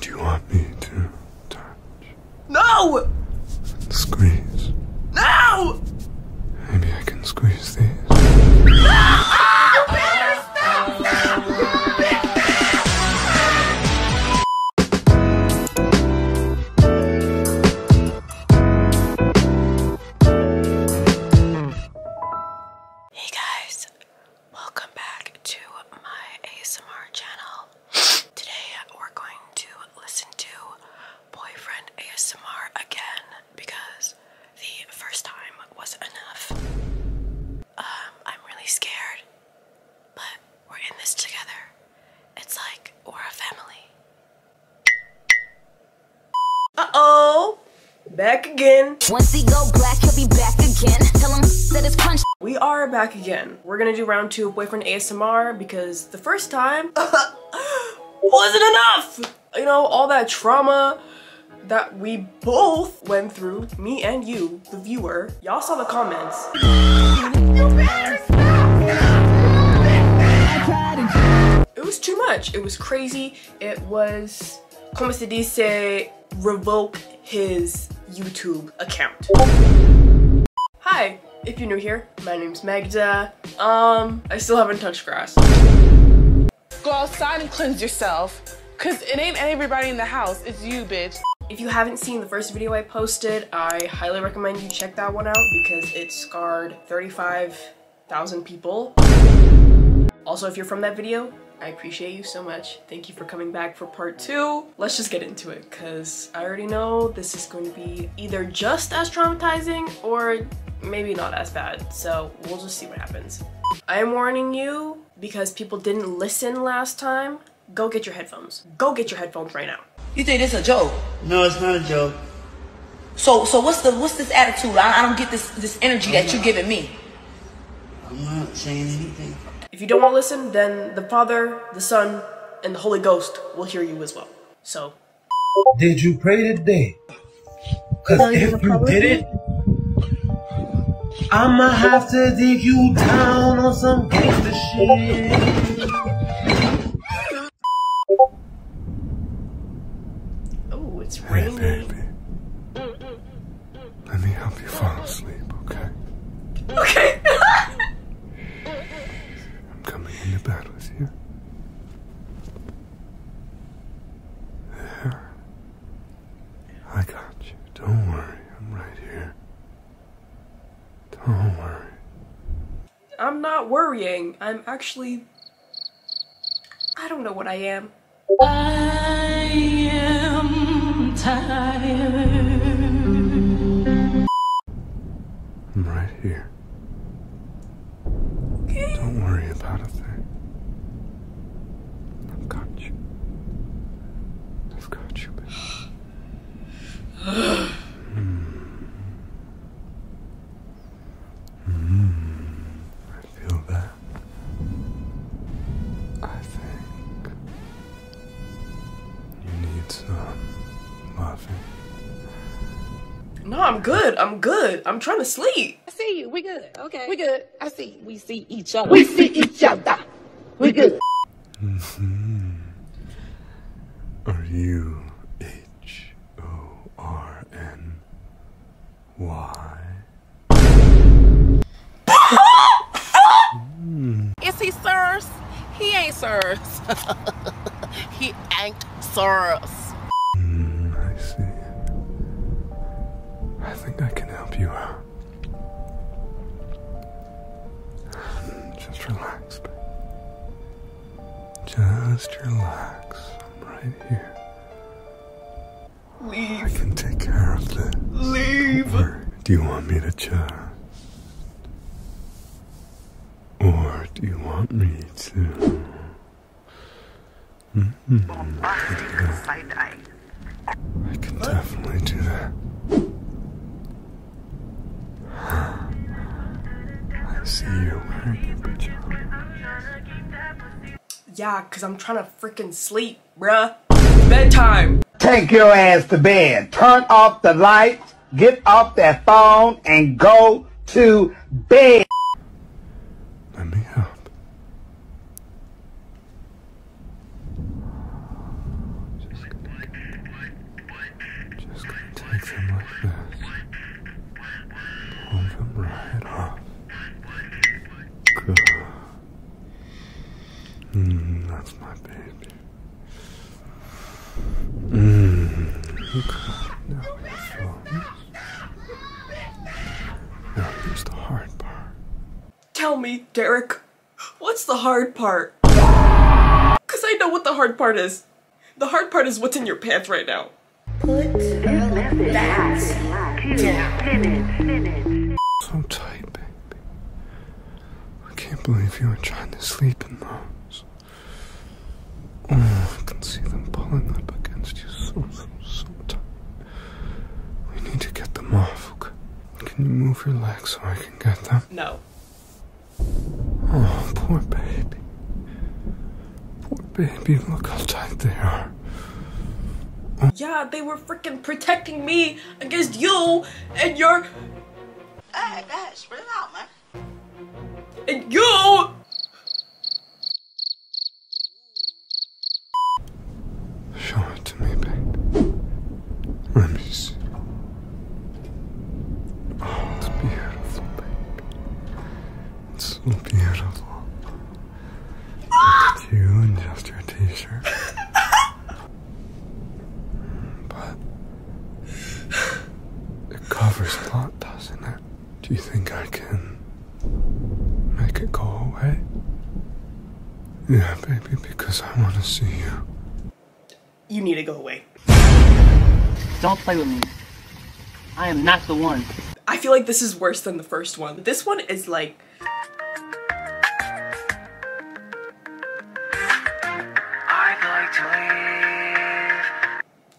Do you want me to touch? No! Squeeze. No! Maybe I can squeeze these. No! Oh, Peter, stop! Stop! Hey guys, Welcome back to my ASMR channel. Today we're going to listen to Boyfriend ASMR again because the first time was enough. Um, I'm really scared, but we're in this together. It's like we're a family. Uh-oh! Back again. We are back again. We're gonna do round two Boyfriend ASMR because the first time wasn't enough! You know, all that trauma that we both went through, me and you, the viewer. Y'all saw the comments. It was too much. It was crazy. It was, revoke his YouTube account. Hi, if you're new here, my name's Magda. Um, I still haven't touched grass. Go outside and cleanse yourself, cause it ain't everybody in the house, it's you, bitch. If you haven't seen the first video I posted, I highly recommend you check that one out because it scarred 000 people. Also, if you're from that video, I appreciate you so much. Thank you for coming back for part two. Let's just get into it because I already know this is going to be either just as traumatizing or maybe not as bad. So we'll just see what happens. I am warning you because people didn't listen last time. Go get your headphones. Go get your headphones right now. You think this a joke? No, it's not a joke. So, so what's the what's this attitude? I, don't get this this energy that you're giving me. I'm not saying anything. If you don't want to listen, then the Father, the Son, and the Holy Ghost will hear you as well. So. Did you pray today? Because if you did it, I'ma have to dig you down on some gangster shit. Oh, it's raining. Right, let me help you fall asleep, okay? Okay. I'm coming into bed with you. There. I got you. Don't worry. I'm right here. Don't worry. I'm not worrying. I'm actually. I don't know what I am. I am. I'm tired. I'm right here. Don't worry about a thing. I've got you. I've got you, baby. Hmm. Hmm. I think you need some laughing. No, I'm good. I'm good. I'm trying to sleep. I see you. We good. Okay. We good. I see. We see each other. We see each other. We good. Mm-hmm. Are you H O R N Y? Is he sirs? He ain't sirs. he ain't sirs. Hmm, I see. I think I can help you out. Just relax, babe. Just relax. I'm right here. Leave. I can take care of this. Leave. do you want me to just uh, or do you want me to? Hmm. I can definitely do that. I see you wearing pajamas. Yeah, because I'm trying to freaking sleep bruh. Bedtime. Take your ass to bed. Turn off the lights, get off that phone, and go to bed. Let me out. Just, take them like this. Pull them right off. Good. Mm, that's my baby. Mm. Okay. Now Now here's the hard part. Tell me, Derek, what's the hard part? Cause I know what the hard part is. The hard part is what's in your pants right now. Put that down. Two minutes. So typing. I can't believe you are trying to sleep in those. Oh, I can see them pulling up against you so, so, so tight. We need to get them off, Can you move your legs so I can get them? No. Oh, poor baby. Poor baby, look how tight they are. Oh. Yeah, they were freaking protecting me against you and your. Hey, hey, spit it out, man. And you. Show it to me, babe. Let Oh, it's beautiful, babe. It's so beautiful. Ah! You and just your t-shirt. But it covers a lot, doesn't it? Do you think I can make it go away? Yeah, baby, because I want to see you. You need to go away. Don't play with me. I am not the one. I feel like this is worse than the first one. This one is like like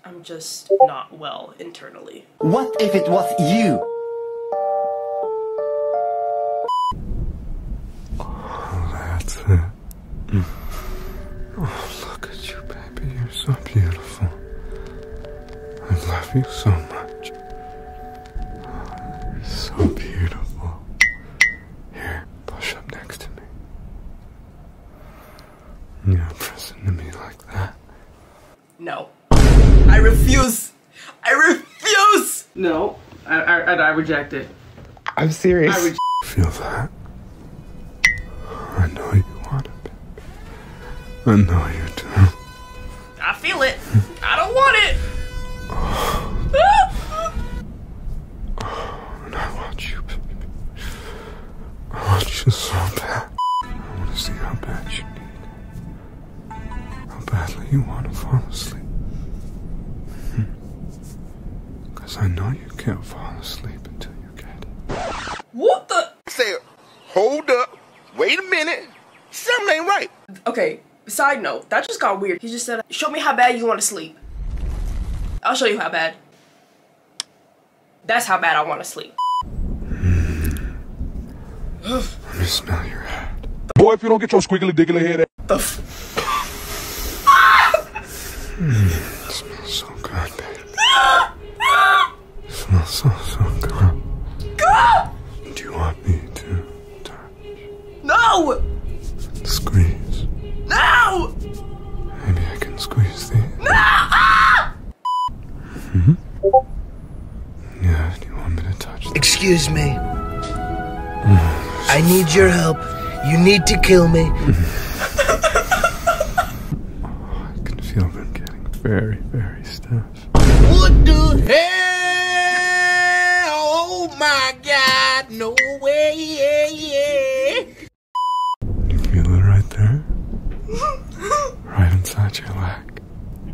I'm just not well internally. What if it was you? Oh, that's Oh, look at you, baby. You're so beautiful. I love you so much. so beautiful. Here, push up next to me. You're pressing to me like that. No. I refuse. I refuse. No, I, I, reject it. I'm serious. I Feel that? I know you want it. I know you do. I feel it. I don't want it. I want you, want you so bad. I want to see how bad you need. How badly you want to fall asleep. Because hmm. I know you can't fall asleep until you get it. What the? Say, hold up. Wait a minute. Something ain't right. Okay, Okay, side note, that just got weird. He just said, show me how bad you want to sleep. I'll show you how bad. That's how bad I want to sleep. Let me smell your hat. Boy, if you don't get your squiggly diggly head out. The f- smells so good, smells so, so good. Do you want me to no! Squeeze. No! Maybe I can squeeze these. No! Ah! hmm? Yeah, do you want me to touch Excuse me. Mm-hmm. I need your help. You need to kill me. I can feel them getting very, very stiff. What the hell? Oh my god, no way, yeah, You feel it right there? right inside your leg.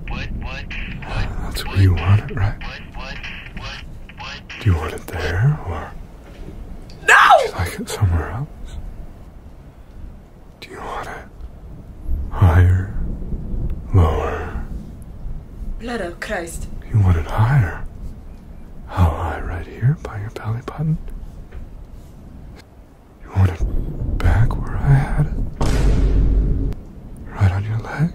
What, what, That's where you want it, right? Do you want it there, or? No! Do you like it somewhere else? Do you want it higher, lower, Blood of Christ. You want it higher? How high? Right here by your belly button? You want it back where I had it? Right on your leg?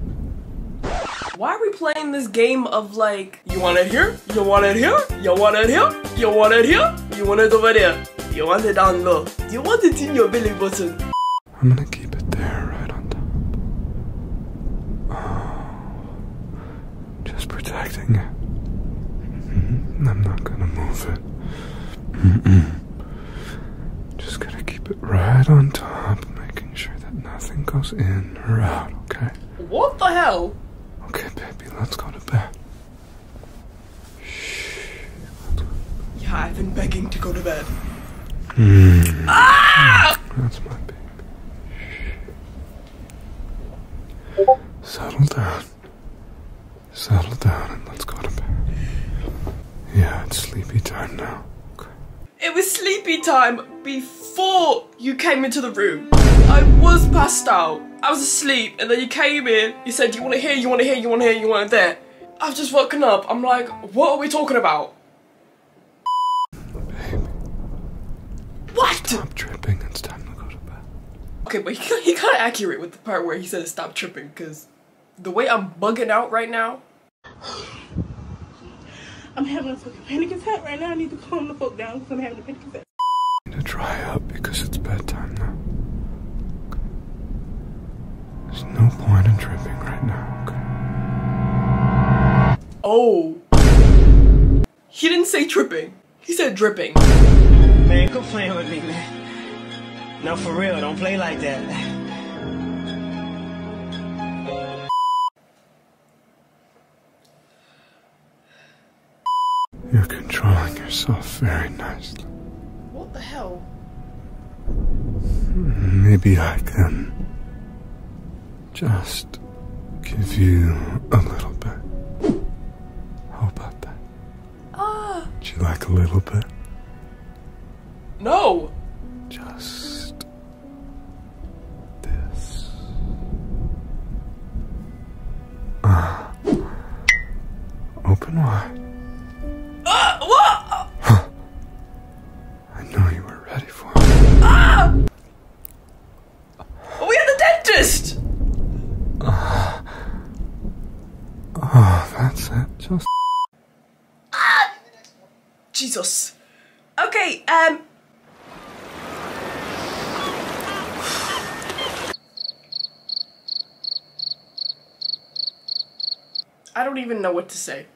Why are we playing this game of like, you want it here? You want it here? You want it here? You want it here? You want it over there? You want it down low? You want it in your belly button? I'm gonna keep it there right on top. Uh... Just protecting it. Mm-hmm. I'm not gonna move it. Just gonna keep it right on top, making sure that nothing goes in or out, okay? What the hell? Okay, baby, let's go to bed. Yeah, I've been begging to go to bed. Mm. Ah! That's my baby. Settle down. Settle down and let's go to bed. Yeah, it's sleepy time now. It was sleepy time before you came into the room. I was passed out. I was asleep and then you came in. You said, you want to hear, you want to hear, you want to hear, you want to hear?" I've just woken up. I'm like, what are we talking about? Babe. What? Stop tripping. It's time to go to bed. Okay, but he got, he got accurate with the part where he says stop tripping because the way I'm bugging out right now. I'm having a fucking panic attack right now. I need to calm the fuck down because I'm having a panic attack. I need to dry up because it's bedtime now. There's no point in tripping right now. Okay? Oh. He didn't say tripping. He said dripping. Man, quit playing with me, man. No, for real, don't play like that. You're controlling yourself very nicely. What the hell? Maybe I can just give you a little bit. How about that? Ah! Do you like a little bit? No! Just this. Ah. open wide. Ah! what? I know you were ready for it. Ah! We had the dentist! Uh, oh, that's it. Just. Ah! Jesus. Okay, um. I don't even know what to say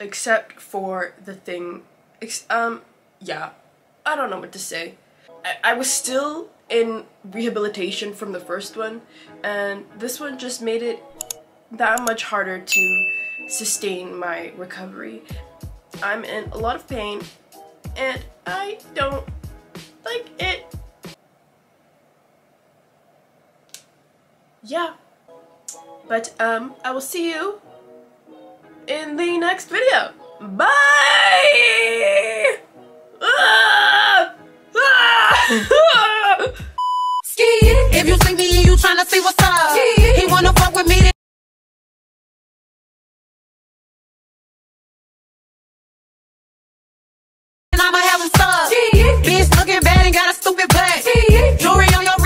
except for the thing, um, yeah, I don't know what to say. I, I was still in rehabilitation from the first one, and this one just made it that much harder to sustain my recovery. I'm in a lot of pain, and I don't like it yeah. But um, I will see you in the next video. Bye! Ah! if you see me you tryna see what's up, he wanna fuck with me. I'ma have him stuck. Bitch looking bad and got a stupid butt. Jewelry on your